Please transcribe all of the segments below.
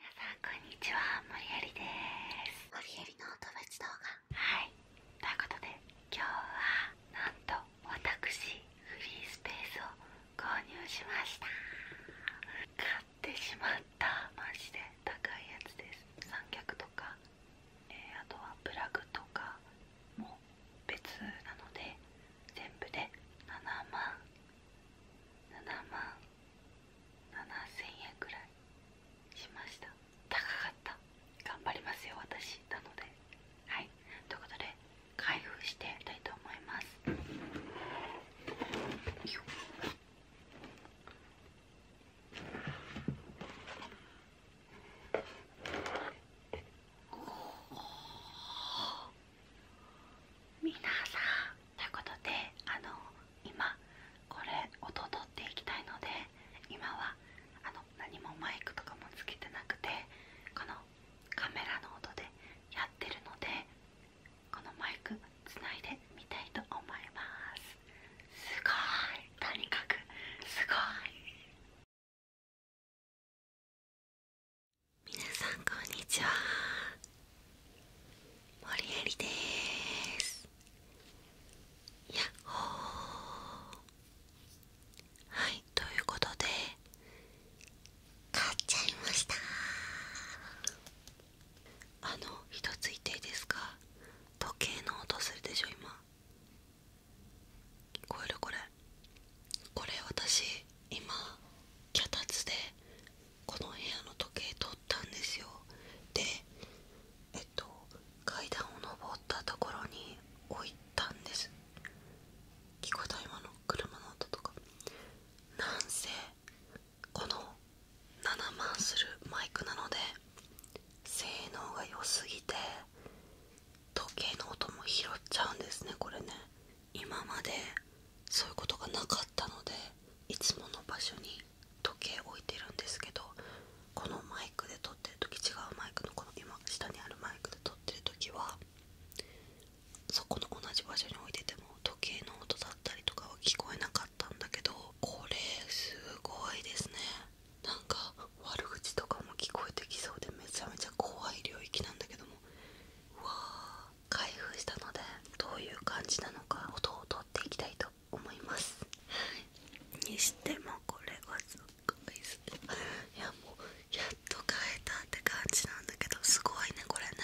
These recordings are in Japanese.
皆さんこんにちは、森有です。森有のお友達動画。はい、ということで今日はなんと私フリースペースを購入しました。買ってしまったマジで高いやつです。三脚とか、えあとはプラグとかも別なので全部で7万7万7 0円くらいしました高かった頑張りますよ私なのではいということで開封していきたいと思いますよ皆さんということであの今これ音取っていきたいので今はあの何もマイクとかもつけてなくてこのカメラの音でやってるのでこのマイクつないでみたいと思いますすごいとにかくすごい皆さんこんにちは森エりですやっほーはいということで買っちゃいましたあの一つ言っていいですか時計の音するでしょ今聞こえるこれこれ私今脚立でこの部屋の時計取ったんですよでえっと階段を登ったところに置いたんです聞こえた今の車の音とかなんせこの7万するマイクなので性能が良すぎて時計の音も拾っちゃうんですねこれね今までそういうことがなかったのでいつもの場所に時計置いてるんですけどこのマイクで撮ってる時違うマイクのこの今下にあるマイクで撮ってる時はそこの同じ場所に置いてても時計の音だったりとかは聞こえなかったんだけどこれすごいですねなんか悪口とかも聞こえてきそうでめちゃめちゃ怖い領域なんだけどもうわ開封したのでどういう感じなのか音を取っていきたいと思います、にしてもこれはすごいですねいやもうやっと変えたって感じなんだけどすごいねこれね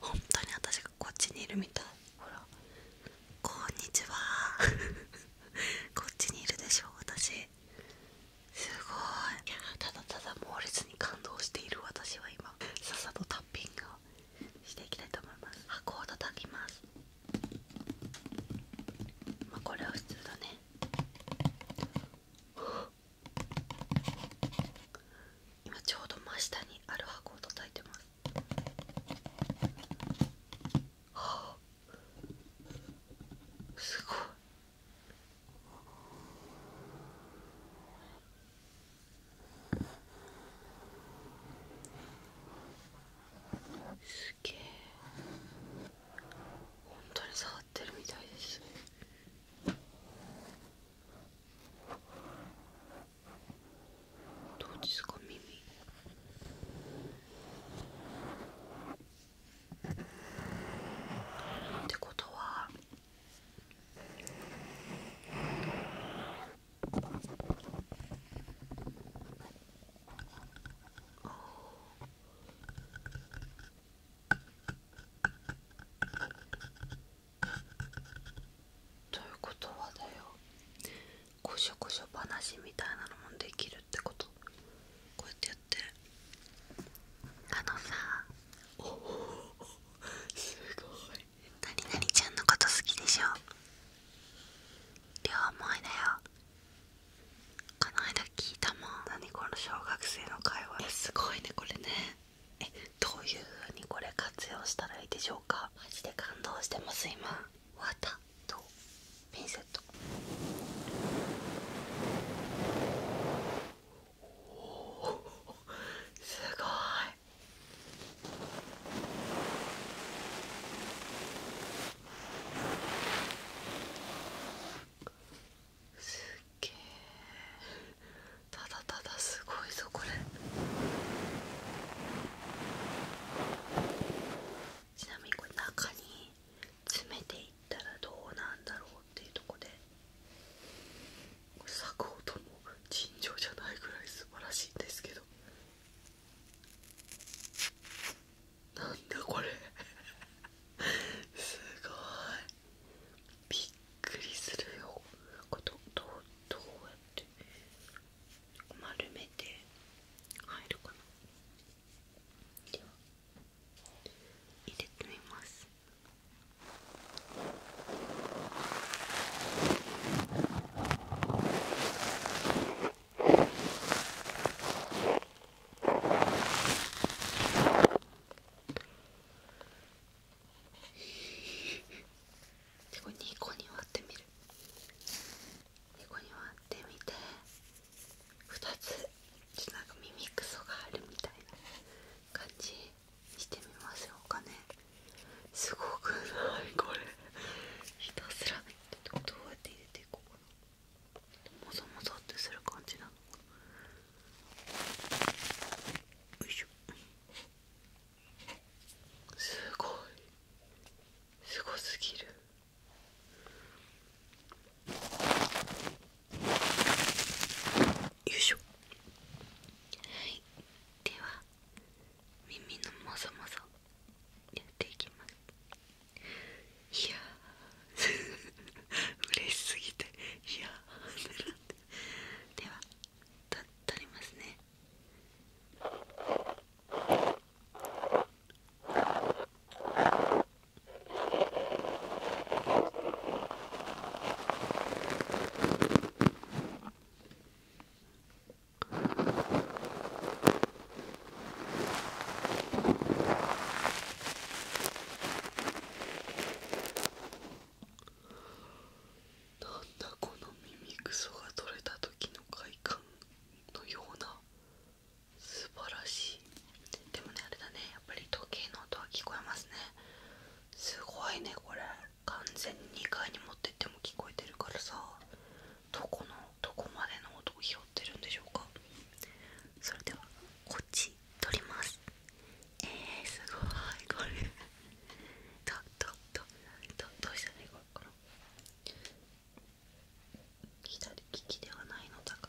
本当に私がこっちにいるみたいほらこんにちは こっちにいるでしょ私すごいいやただただ猛烈に感動している私は今笹のタッピングをしていきたいと思います箱を叩きますまあこれは普通だね今ちょうど真下にある箱を叩いてますはあすごいすげえ本当に触ってるみたいですどうですか耳ってことはということはだよこしょこしょ話みたいなのもできるってことこうやってやってあのさおおすごい何々ちゃんのこと好きでしょ両思いだよこの間聞いたもん何この小学生の会話すごいねこれねえどういうふうにこれ活用したらいいでしょうかマジで感動してます今綿とピンセットおお。すごいすっげえただただすごいぞこれちなみにこれ中に詰めていったらどうなんだろうっていうとこで作法とも尋常じゃないぐらい素晴らしいんですけどなんだこれすごいびっくりするよこれどうどうやって丸めて入るかなでは入れてみますでこれ2個に割ってみる2個に割ってみて2つちなんか耳クソがあるみたいな感じしてみましょうすごくないこれひたすらどうやって入れていこうかなもぞもぞってする感じなのかなよいしょすごいすごすぎるよいしょはいでは耳のもぞもぞやっていきますいやう。嬉しすぎていやではと取りますねはいだこの耳くそが取れた時の快感のような素晴らしいでもねあれだねやっぱり時計の音は聞こえますねすごいねこれ完全に2階に持ってっても聞こえてるからさどこのどこまでの音を拾ってるんでしょうかそれではこっち取りますえー、すごいこれどどどどどうしたらいいかな左利きではないのだが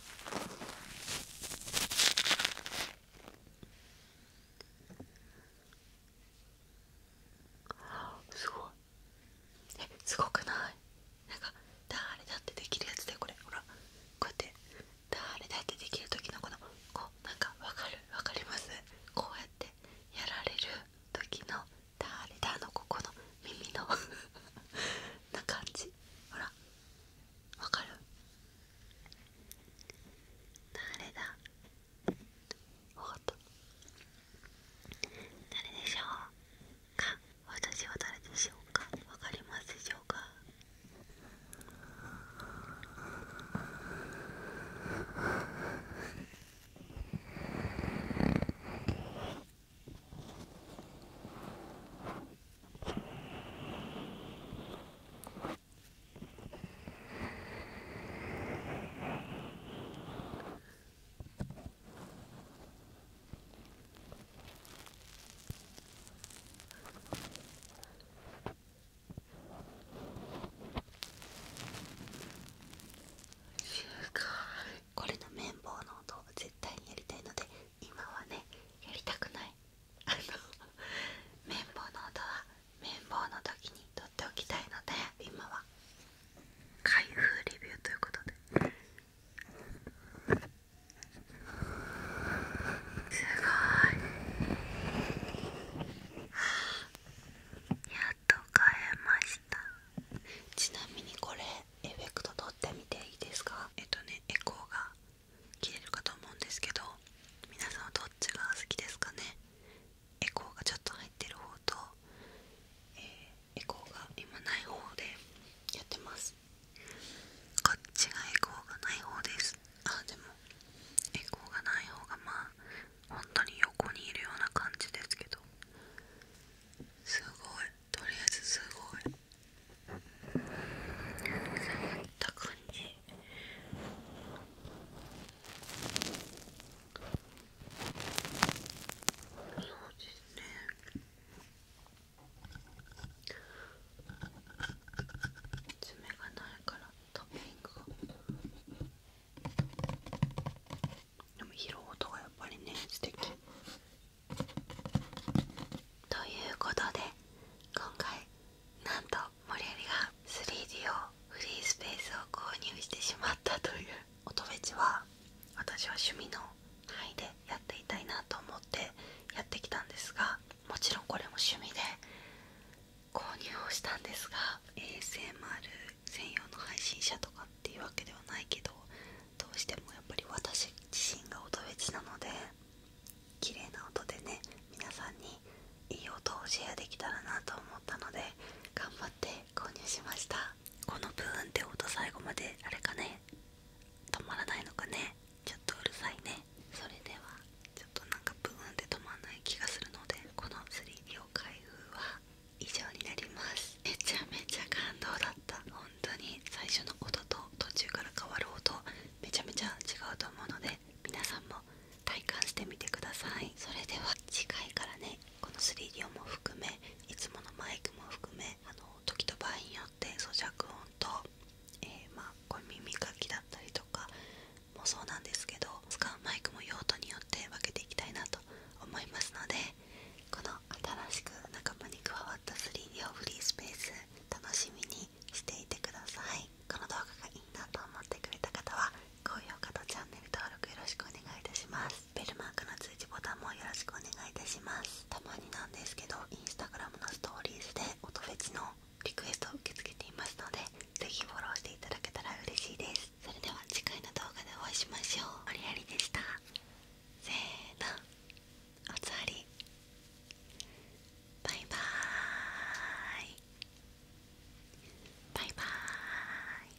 すごいえすごくないなんか誰だってできるやつでこれほらこうやって誰だってできる時のこのこうなんかわかるわかりますこうやってやられる時の誰だのここの耳のな感じほらわかる誰だわかった誰でしょうか私は誰でしょうかわかりますでしょうかこれの綿棒の音を絶対にやりたいので今はねやりたくないあの綿棒の音は綿棒の時に取っておきたいので今は開封レビューということで。すごい、やっと買えましたちなみにこれエフェクト取ってみていいですかえっとねエコーが切れるかと思うんですけど皆さんはどっちが好きですかねエコーがちょっと入ってる方と、えエコーが今ない方でやってますこっちがエコーがない方ですあでもエコーがない方がまあ本当に横にいるような感じですけどすごいとりあえずすごいそうですね爪がないからトッピンでも拾音がやっぱりね素敵ということで今回なんと森有が 3D をフリースペースを購入してしまったという音フェチは私は趣味の範囲でやっていたいなと思ってやってきたんですがもちろんこれも趣味で購入をしたんですが ASMR 専用の配信者とかっていうわけではないけどどうしてもやっぱり私自身が音フチなので綺麗な音でね皆さんにいい音をシェアできたらなと思ったので頑張って購入しましたこのブーンって音最後まであれかね止まらないのかねちょっとうるさいねそれではちょっとなんかブーンって止まらない気がするのでこの3秒開封は以上になりますめちゃめちゃ感動かった本当に最初の音と途中から変わる音めちゃめちゃ違うと思うので皆さんも体感してみてくださいそれでは次回からねこの 3D 音も含めいつものマイクも含めあの時と場合によって咀嚼音と、えまこう耳かきだったりとかもそうなんですけど使うマイクも用途によって分けていきたいなと思いますのでこの新しく仲間に加わった 3D オフリースペース楽しみにしていてくださいこの動画がいいなと思ってくれた方は高評価とチャンネル登録よろしくお願いいたしますベルマークの通知ボタンもよろしくお願いいたしますたまになんですけどインスタグラムのストーリーズで音フェチのリクエストを受け付けていますので是非フォローしていただけたら嬉しいですそれでは次回の動画でお会いしましょう。おりありでした。せーのおつわりバイバイバイバイ